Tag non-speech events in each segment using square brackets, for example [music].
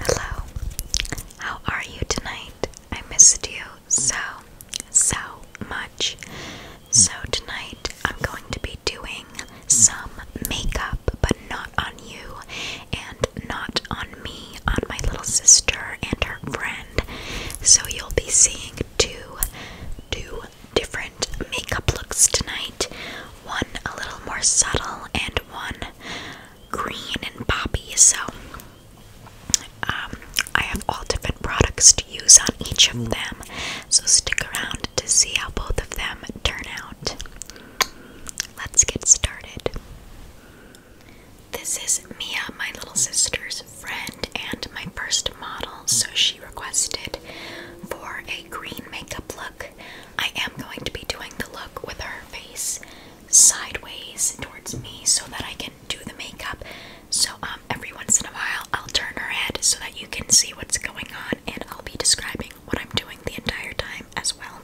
Hello, how are you tonight? I missed you so, so much. So, tonight I'm going to be doing some makeup, but not on you and not on me, on my little sister and her friend. So, you'll be seeing two, two different makeup looks tonight. One a little more subtle and one green and poppy. So um, I have all different products to use on each of them. So stick around to see how both of them turn out. Let's get started. This is Mia, my little sister's friend and my first model, so she requested for a green makeup look. I am going to be doing the look with her face sideways towards me so that I can do the makeup. So um, every once in a while I'll turn her head so that you can see what's going on and I'll be describing what I'm doing the entire time as well.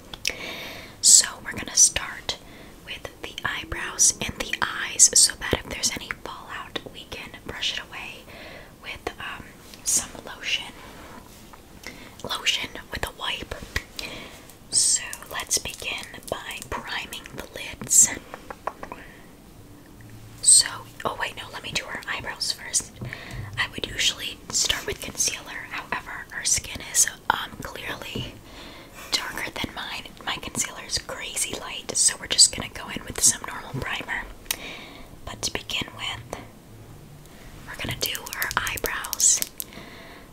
So we're gonna start with the eyebrows and the eyes so that if there's any fallout we can brush it away with um, some lotion. Lotion with a wipe. So let's begin by priming the lids. So, oh wait, no, let me do her eyebrows first. I would usually start with concealer, however, her skin is um clearly darker than mine. My concealer is crazy light, so we're just gonna go in with some normal primer. But to begin with, we're gonna do our eyebrows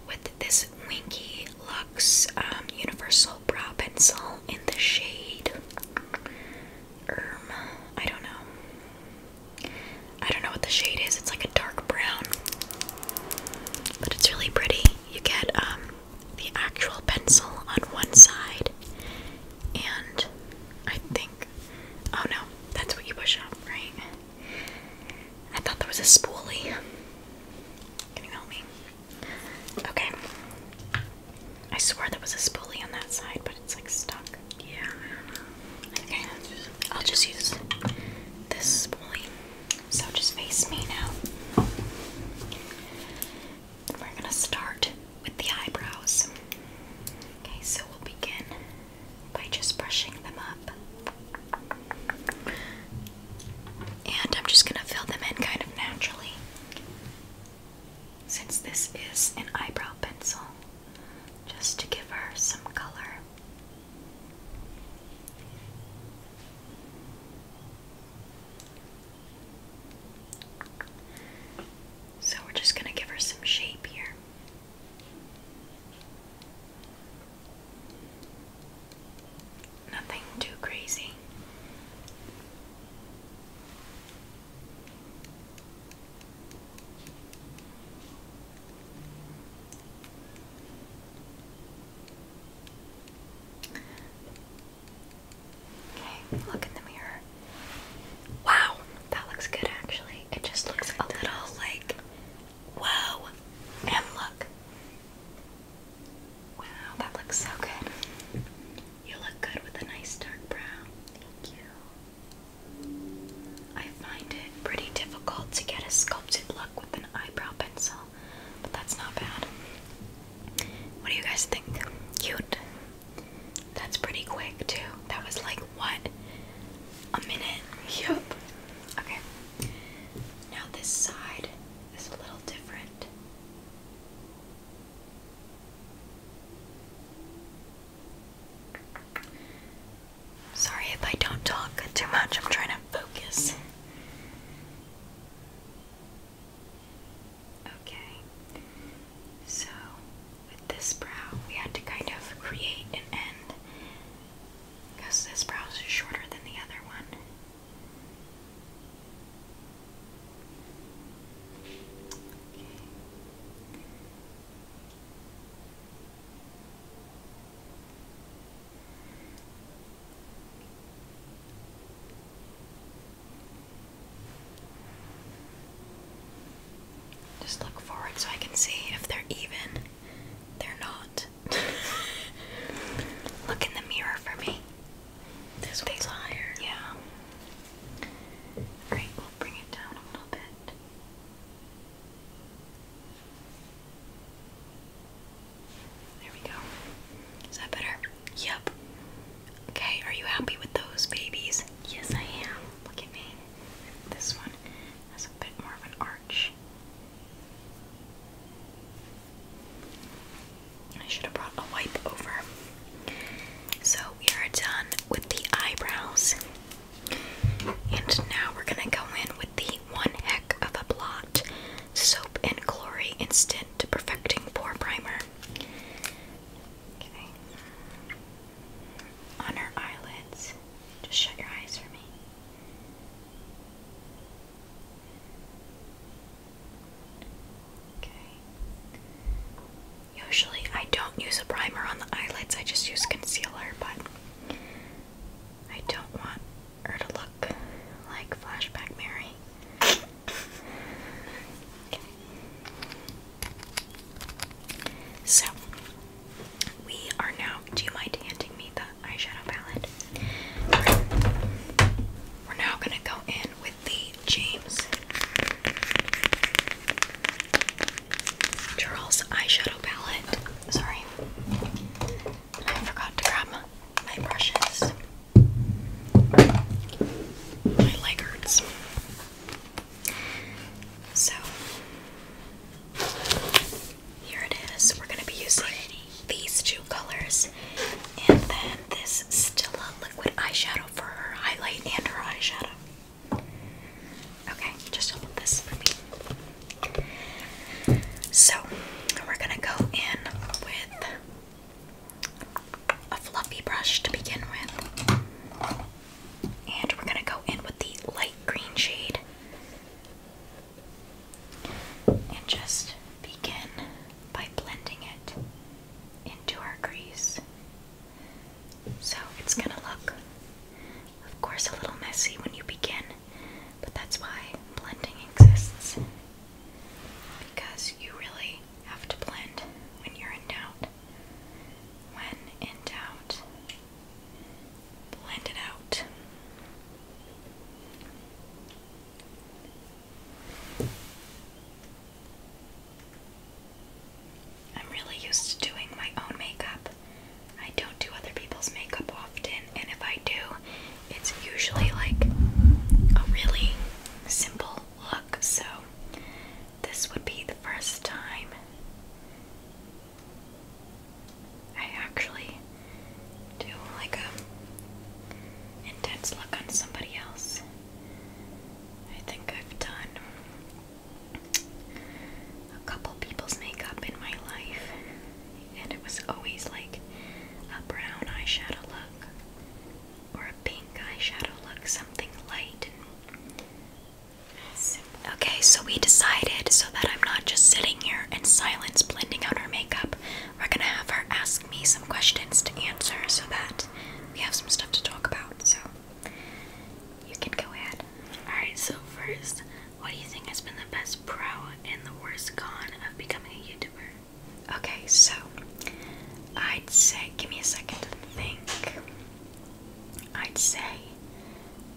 with this Winky Lux um, Universal Brow Pencil in the shade um, I don't know. I don't know what the shade is. It's like a dark brown, but it's really pretty. You get um, the actual pencil on one side, and I think. Oh no, that's what you push up, right? I thought there was a spoolie. Can you help me? Okay. I swear there was a spoolie on that side, but it's like stuck. Yeah. Okay. I'll just use this spoolie. So just face me now. We're gonna start with the eyebrows. Okay, so we'll begin by just brushing them up. And I'm just going to fill them in kind of naturally. Since this is an eyebrow pencil, just to give her some color. So we're just going to give her some shape here. Nothing too crazy. Okay, look in the mirror. Wow, that looks good actually. It just looks a little like, whoa. And look. Wow, that looks so good. You look good with a nice dark brow. Thank I find it pretty difficult to get a sculpted look with an eyebrow pencil, but that's not bad. What do you guys think? Cute. That's pretty quick too. That was like what? A minute. Yep. Okay. Now this side is a little different. Sorry if I don't talk too much. I'm trying to focus. Okay, so with this brow, we had to kind of create an end because this brow is shorter than the other one. Just look forward so I can see if they're even. They're not. [laughs] look in the mirror for me. This one's higher. Yeah. Alright, we'll bring it down a little bit. There we go. Is that better? Yep. Okay, are you happy with those babies? Yes, I am. Look at me. This one has a bit more of an arch. I should have brought a wipe over. So we are done with the eyebrows. And now we're gonna go in with the one heck of a blot soap and glory instant perfecting pore primer. Okay. On her eyelids. Just shut your eyes for me. Okay. Usually I don't use a primer on the eyelids, I just use concealer, but I don't want her to look like Flashback Mary. So we are now. Do you mind handing me the eyeshadow palette? we're now gonna go in with the James Charles eyeshadow palette. Sorry, I forgot to grab my brushes. My leg hurts. So here it is. We're gonna be using these two colors and then this Stila liquid eyeshadow for her highlight and her eyeshadow. Okay, just hold this for me. So we're gonna go in with a fluffy brush to begin with. And we're going to go in with the light green shade and just begin by blending it into our crease. So it's going to look, of course, a little messy when you begin, but that's why blending exists. Because you really have to blend when you're in doubt. When in doubt, blend it out. I'm really used to doing my own makeup. I don't do other people's makeup often, and if I do, it's usually like a really simple look. So, this would be the first time I actually do like a intense look on somebody else. I think I've done a couple people's makeup in my life, and it was always like a brown eyeshadow look or a pink eyeshadow look, something light Okay, so we decided so that I'm not just sitting here in silence blending out her makeup, we're gonna have her ask me some questions to answer so that we have some stuff to talk about. So you can go ahead. Alright, so first, what do you think has been the best pro and the worst con of becoming a YouTuber? Okay, so I'd say, give me a second to think. I'd say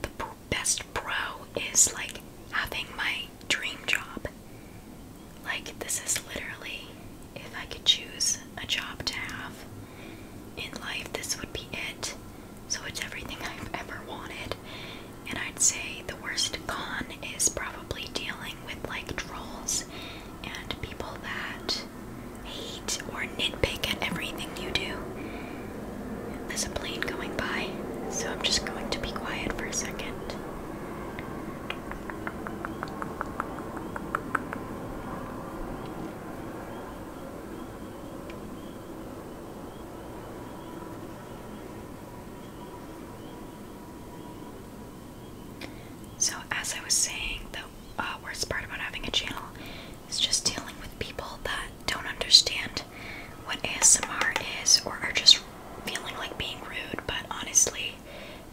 the best pro is like having my dream job. Like, this is literally if I could choose a job to have in life, this would be it. So, it's everything [laughs] I've ever wanted. And I'd say the worst con is probably dealing with like trolls and people that hate or nitpick at everything you do. There's a plane going by, so I'm just going to be quiet for a second. So, as I was saying, the uh, worst part about having a channel is just dealing with people that don't understand what ASMR is or are just feeling like being rude, but honestly,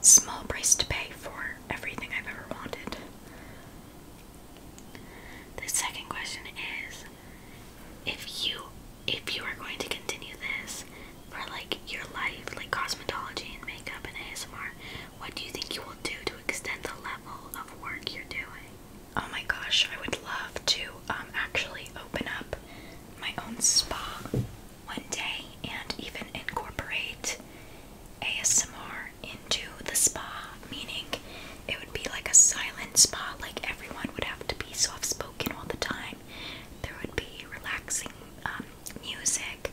small price to pay for everything I've ever wanted. The second question is if you if you are going to continue this, for like your life, like cosmetology and makeup and ASMR, what do you think you will do to extend the level of work you're doing? Oh my gosh, I would love to um, actually open up my own spa one day and even incorporate ASMR into the spa, meaning it would be like a silent spa, like everyone would have to be soft spoken all the time. There would be relaxing um, music,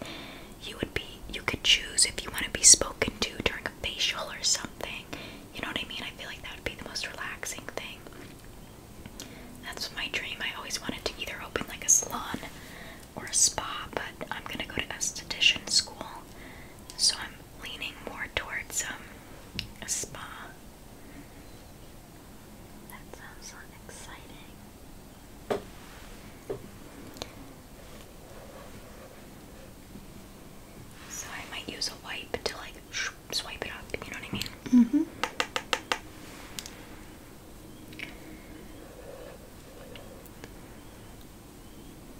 you would be you could choose if you want to be spoken to during a facial or something. You know what I mean? I feel like that would be the most relaxing thing. That's my dream. I always wanted to either open like a salon or a spa, but I'm gonna go to esthetician school, so I'm leaning more towards um a spa. That sounds so exciting. So I might use a wipe to like [sniffs] swipe it up, you know what I mean? hmm.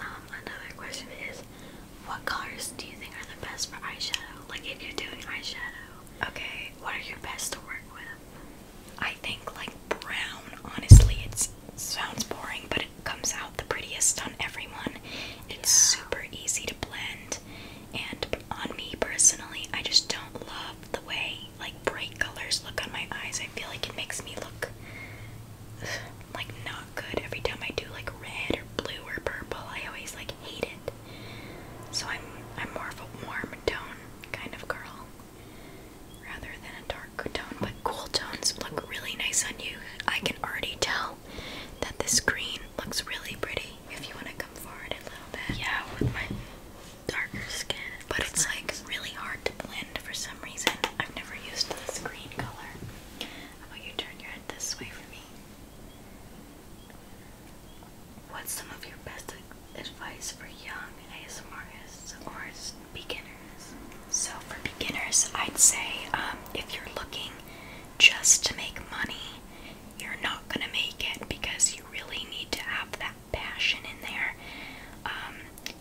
Um, another question is what colors do you think are the best for eyeshadow? Like if you're doing eyeshadow, okay, what are your best to work with? I think like brown. Honestly, it sounds boring, but it comes out the prettiest on everyone. It's super easy to blend, and on me personally, I just don't love the way like bright colors look on my eyes. I feel like it makes me look [sighs] like not good every time I do like red or blue or purple. I always like hate it. So I'm I'm more of a warm tone kind of girl rather than a dark tone, but cool tones look really nice on you. I can already tell that this green looks really pretty. If you want to come forward a little bit. Yeah, with my darker skin. But it's like really hard to blend for some reason. I've never used this green color. How about you turn your head this way for me? What's some of your best advice for young ASMRists or beginners? So for beginners, I'd say um, if you're looking just to make money, you're not gonna make it because you really need to have that passion in there. Um,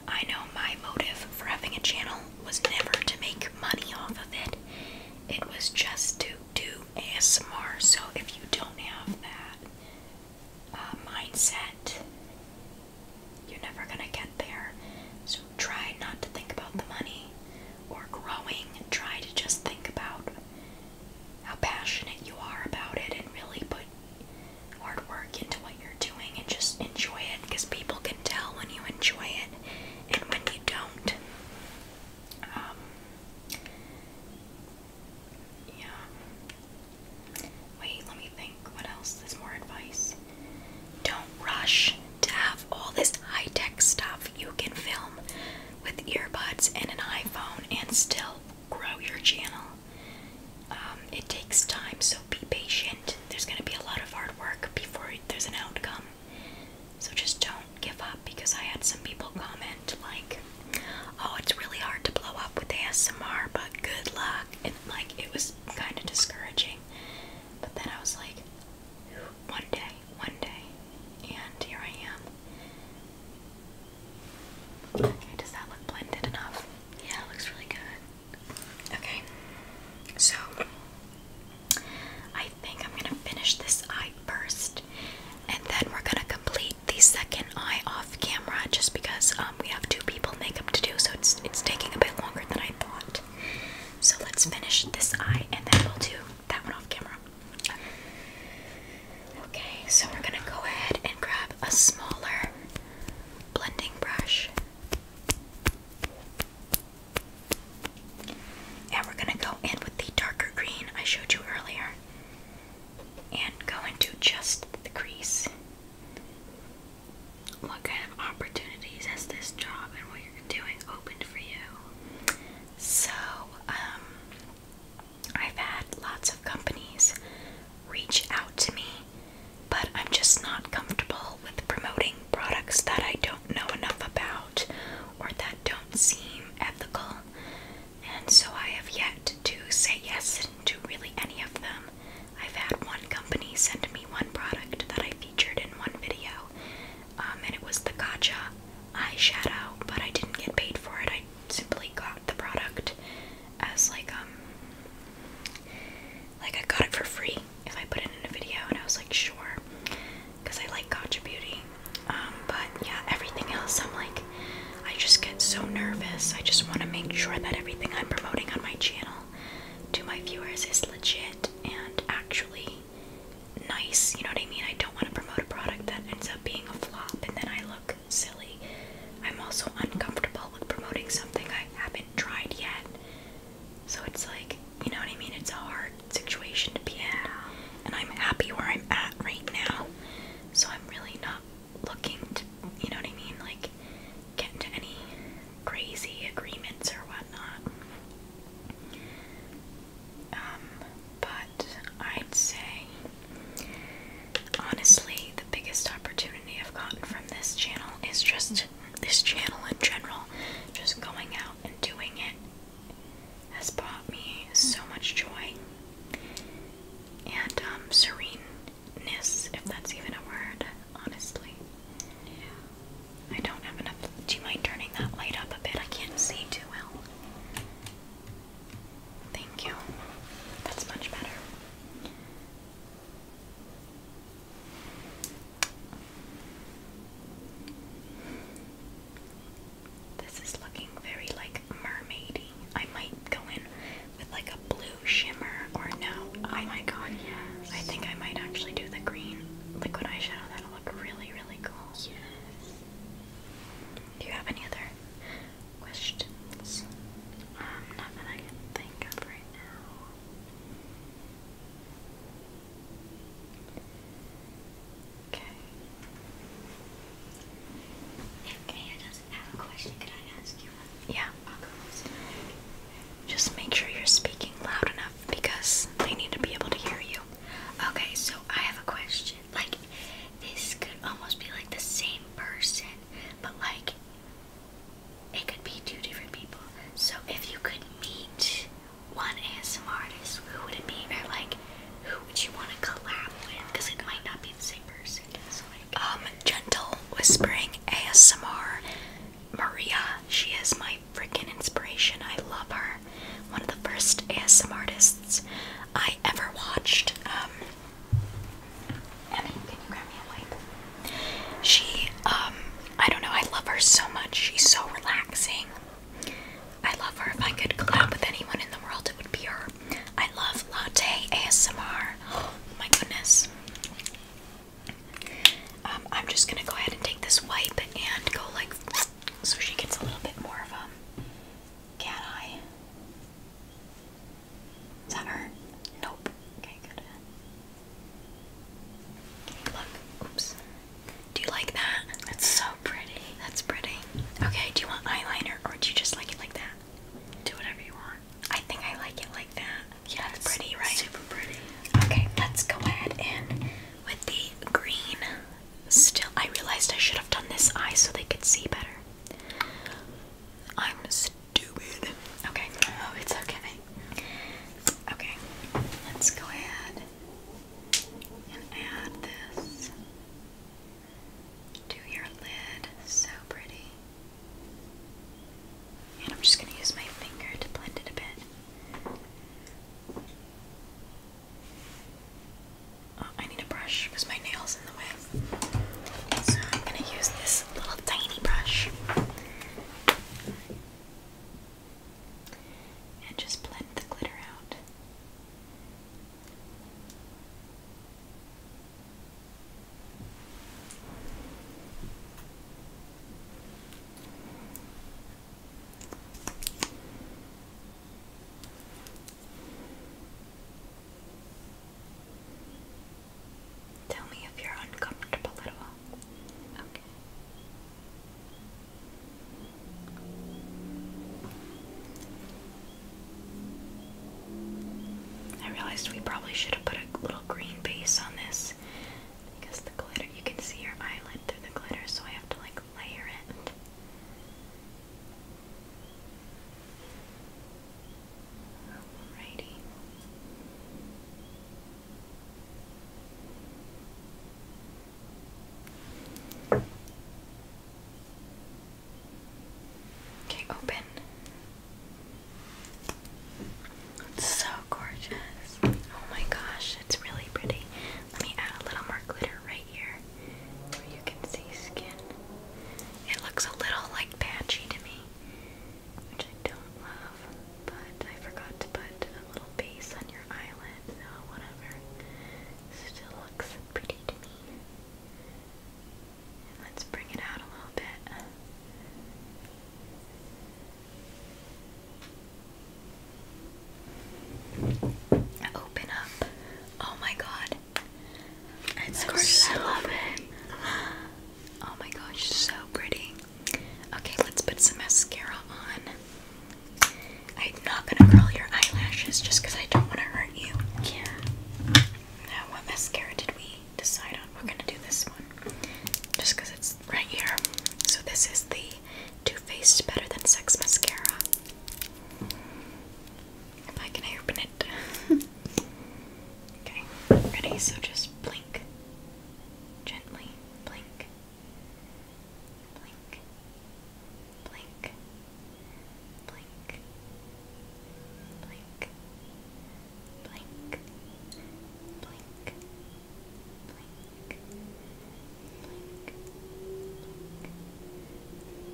I know my motive for having a channel was never to make money off of it. It was just to do ASMR. So if you don't have that, uh, mindset, you're never going to get there. So try not to think about the money or growing. Try to just think about how passionate you are about it and really put hard work into what you're doing and just enjoy it because people can tell when you enjoy it and when you don't. Um, yeah. Wait, let me think. What else? There's more advice. Don't rush to have all this high tech stuff. You can film with earbuds and an iPhone and still grow your channel. Um, it takes time, so be patient. There's going to be a lot of hard work before there's an outcome. So just don't give up because I had some people comment like, "Oh, it's really hard to blow up with ASMR, but good luck." And like it was kind of discouraging. But then I was like, one day, one day, and here I am. Okay, does that look blended enough? Yeah, it looks really good. Okay, so I think I'm gonna finish this eye first, and then we're gonna complete the second eye off camera just because um, we have two people makeup to do, so it's it's taking a bit longer than I thought. So let's finish this eye and then we'll do that one off camera. Okay, so we're gonna go ahead and grab a smaller blending brush. And we're gonna go in with the darker green I showed you earlier and go into just the crease. What kind of opportunities has this job and what you're doing opened for you? So, um, I've had lots of companies reach out to me, but I'm just not comfortable with promoting products that I don't know enough about or that don't seem ethical and so I have yet to say yes to really any of them. I've had one company send me one product that I featured in one video, um, and it was the Gacha eyeshadow, but I didn't get paid for it. I simply got the product as like um like I got it for free if I put it in a video, and I was like, sure because I like Gotcha Beauty. Um, but yeah, everything else, I'm like, I just get so nervous. I just want to make sure that everything I'm promoting on my channel to my viewers is legit and actually nice. You know what I mean? I don't want to promote a product that ends up being a flop and then I look silly. I'm also uncomfortable with promoting something I haven't tried yet. So it's like, you know what I mean? It's hard situation to be in. And I'm happy where I'm at right now. So I'm really not looking to, you know what I mean? Like, get into any crazy agreements or whatnot. Um, but I'd say, honestly, the biggest opportunity I've gotten from this channel is just this channel in general, just going out and doing it has brought me so much joy and um, sereneness, if that's even a word, honestly. Yeah. I don't have enough. Do you mind turning that light up a bit? I can't see too well. Thank you. That's much better. This is looking very like mermaidy. I might go in with like a blue shimmer or no. Oh I, my god, yes. I think I might actually do the green liquid eyeshadow. That'll look really, really cool. Yes. Do you have any other questions? Um, not I can think of right now. Okay. If Gaia does ask you one? Yeah. I'll go Just make sure you're speaking loud enough because they need to be able to hear you. Okay, so I have a question. Like, this could almost be like the same person, but like, it could be two different people. So if you could meet one ASMR artist, who would it be? Or like, who would you want to collab with? Because it might not be the same person. um, gentle whispering ASMR. Maria, she is my freaking inspiration. I love her. One of the first ASMR artists I ever watched. Um, can you grab me a wipe? She, um, I don't know. I love her so much. She's so relaxing. I love her. If I could collab with anyone in the world, it would be her. I love latte ASMR. Oh my goodness. Um, I'm just gonna go ahead and take this wipe and go like so she gets a little bit more of a cat eye. Is that her? Nope. Okay, good. look. Oops. Do you like that? That's so pretty. That's pretty. Okay, do you want eyeliner or do you just like it like that? Do whatever you want. I think I like it like that. Yeah, that's pretty, right? Super pretty. Okay, let's go ahead and with the green. Still, I realized I should have done this eye so they could see better. I'm stupid. Okay. Oh, it's okay. Okay, let's go ahead and add this to your lid. So pretty. And I'm just going to use my finger to blend it a bit. Oh, I need a brush because my nail's in the way. So I'm going to use this little tiny brush and just blend the glitter out. Tell me if you're uncomfortable at all. I realized we probably should have put a little green base on this because the glitter, you can see your eyelid through the glitter, so I have to like layer it. Alrighty. Okay, open. It's so gorgeous. Oh my gosh, it's really pretty. Let me add a little more glitter right here where you can see skin. It looks a little like patchy to me, which I don't love, but I forgot to put a little base on your eyelid, so whatever. Still looks pretty to me. let's bring it out a little bit. Open up. Oh my god. It's gorgeous. So I love it. Oh my gosh, so pretty. Okay, let's put some mascara on. I'm not gonna curl your eyelashes just because I don't want to hurt you. Yeah. Now, what mascara did we decide on? We're gonna do this one just it's right here. So, this is the Too Faced Better Than Sex mascara. If I can open it. [laughs] okay, ready? So, just blink. Gently blink. Blink. Blink. Blink. Blink. Blink. Blink. Blink. Blink.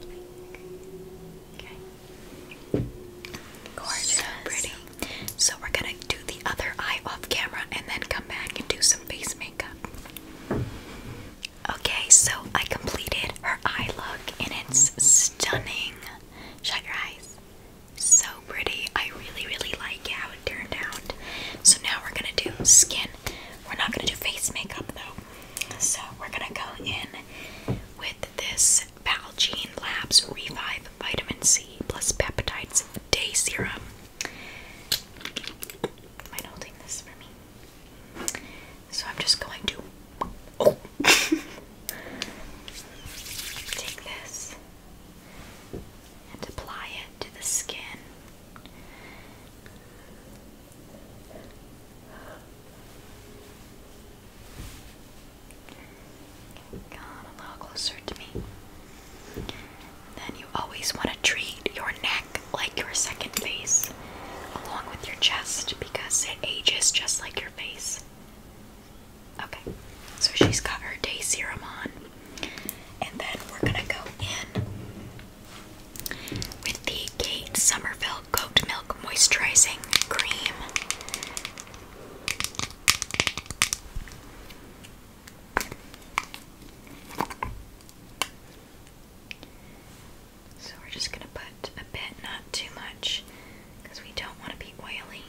Blink. Okay. Gorgeous. So pretty. So we're gonna do the other eye off camera and then come back and do some face Okay, so I completed her eye look and it's stunning. Shut your eyes. So pretty. I really, really like how it turned out. So now we're gonna do skin. We're not gonna do face makeup though. So we're gonna go in with this Palgene Labs Revive Vitamin C plus Peptides Day Serum. So I'm just going to oh. [laughs] take this and apply it to the skin. Come a little closer to me. Then you always want to treat your neck like your second face, along with your chest, because it ages just like your face. Okay, so she's got her day serum on, and then we're gonna go in with the Kate Somerville Goat Milk Moisturizing Cream. So we're just going to put a bit, not too much, because we don't want to be oily.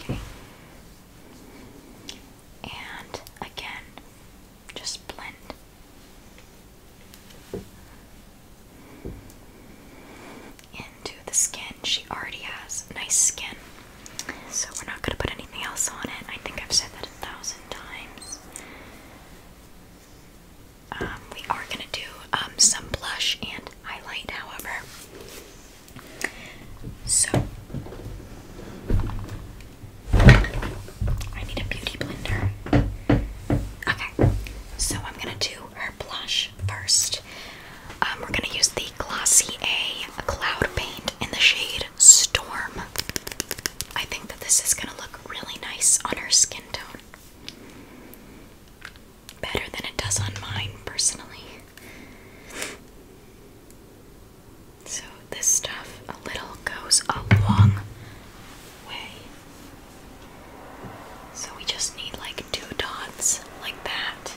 Okay. And again, just blend into the skin. She already has nice skin, so we're not going to put anything else on it. I think I've said that a thousand times. Um, we are going to do um, some blush and highlight, however. So, I need a beauty blender. Okay, so I'm gonna do her blush first. Um, we're gonna use the Glossy A Cloud Paint in the shade Storm. I think that this is gonna look really nice on her skin tone. Better than it does on mine, personally. So, this stuff a little goes a long way. So we just need like two dots like that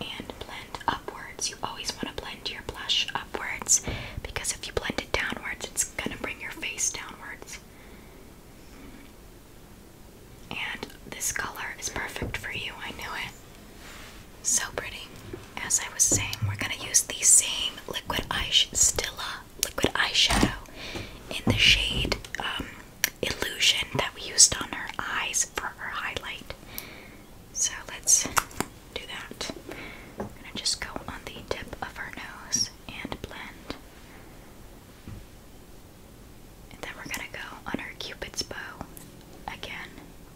and blend upwards. You always want to blend your blush upwards because if you blend it downwards, it's going to bring your face downwards. And this color is perfect for you, I knew it. So pretty. As I was saying, we're going to use the same liquid eyeshadow Stilla liquid eyeshadow in the shade um, Illusion that we used on her eyes for her highlight. So let's do that. I'm gonna just go on the tip of her nose and blend. And then we're gonna go on her cupid's bow. Again,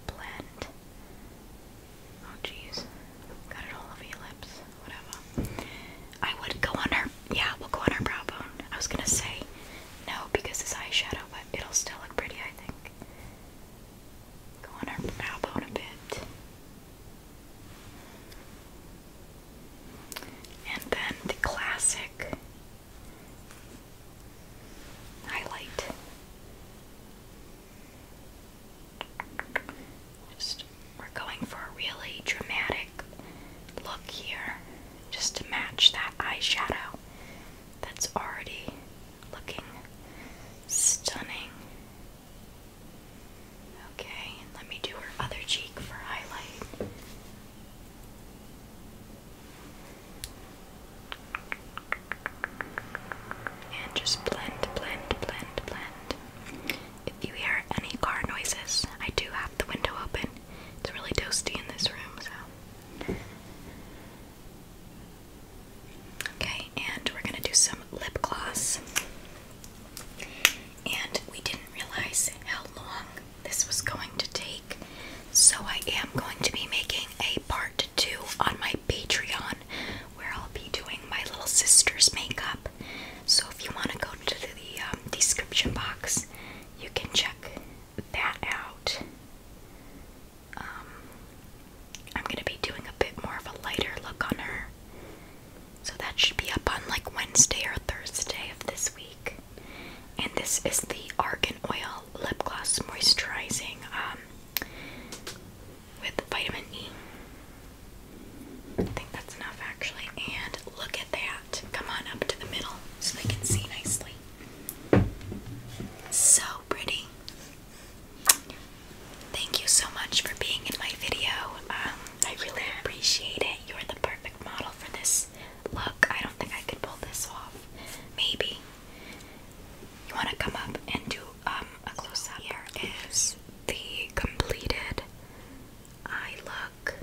blend. Oh jeez, got it all over your lips whatever. I would go on her, yeah, we'll go on her brow bone. I was gonna say no because it's eyeshadow, but it'll still look pretty, I think. Go on her brow bone a bit. And then the classic highlight. Just we're going for a really dramatic look here just to match that eyeshadow that's already looking stunning. Okay, let me do her other cheek for highlight. And just blend, blend, blend, blend. If you hear any car noises, I do have the window open. It's really toasty in this room, so. Okay, and we're gonna do some lip gloss. And we didn't realize how long this was going to take, so I am going to be making a part two on my Patreon where I'll be doing my little sister's makeup. So if you want to go to the um, description box, you can check that out. Um, I'm going to be doing a bit more of a lighter look on her. So that should be up on like Wednesday or Thursday of this week. And this is the Argan Oil Lip Gloss Moisturizing um, with vitamin E. I think that's enough actually. And look at that. Come on up to the middle so they can see nicely. So pretty. Thank you so much for being in my video. Um, I really appreciate it. You're the perfect model for this look. I don't think I could pull this off. Maybe. You want to come up and do um, a close up here is the completed eye look.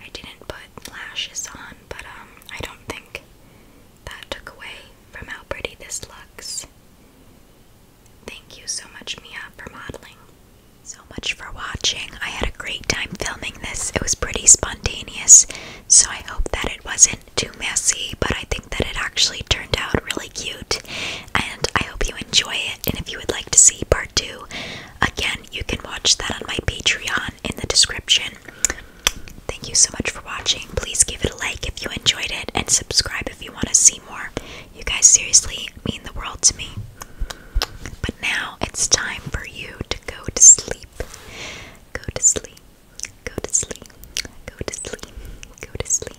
I didn't put lashes on, but um, I don't think that took away from how pretty this looks. Thank you so much, Mia, for modeling. So much for watching. I had a great time filming this. It was pretty spontaneous, so I hope that it wasn't too messy, but I think that it actually turned out really cute and I hope you enjoy it. And if you would like to see part two, again, you can watch that on my Patreon in the description. Thank you so much for watching. Please give it a like if you enjoyed it and subscribe if you want to see more. You guys seriously mean the world to me. But now it's time for you to go to sleep. Go to sleep. Go to sleep. Go to sleep. Go to sleep.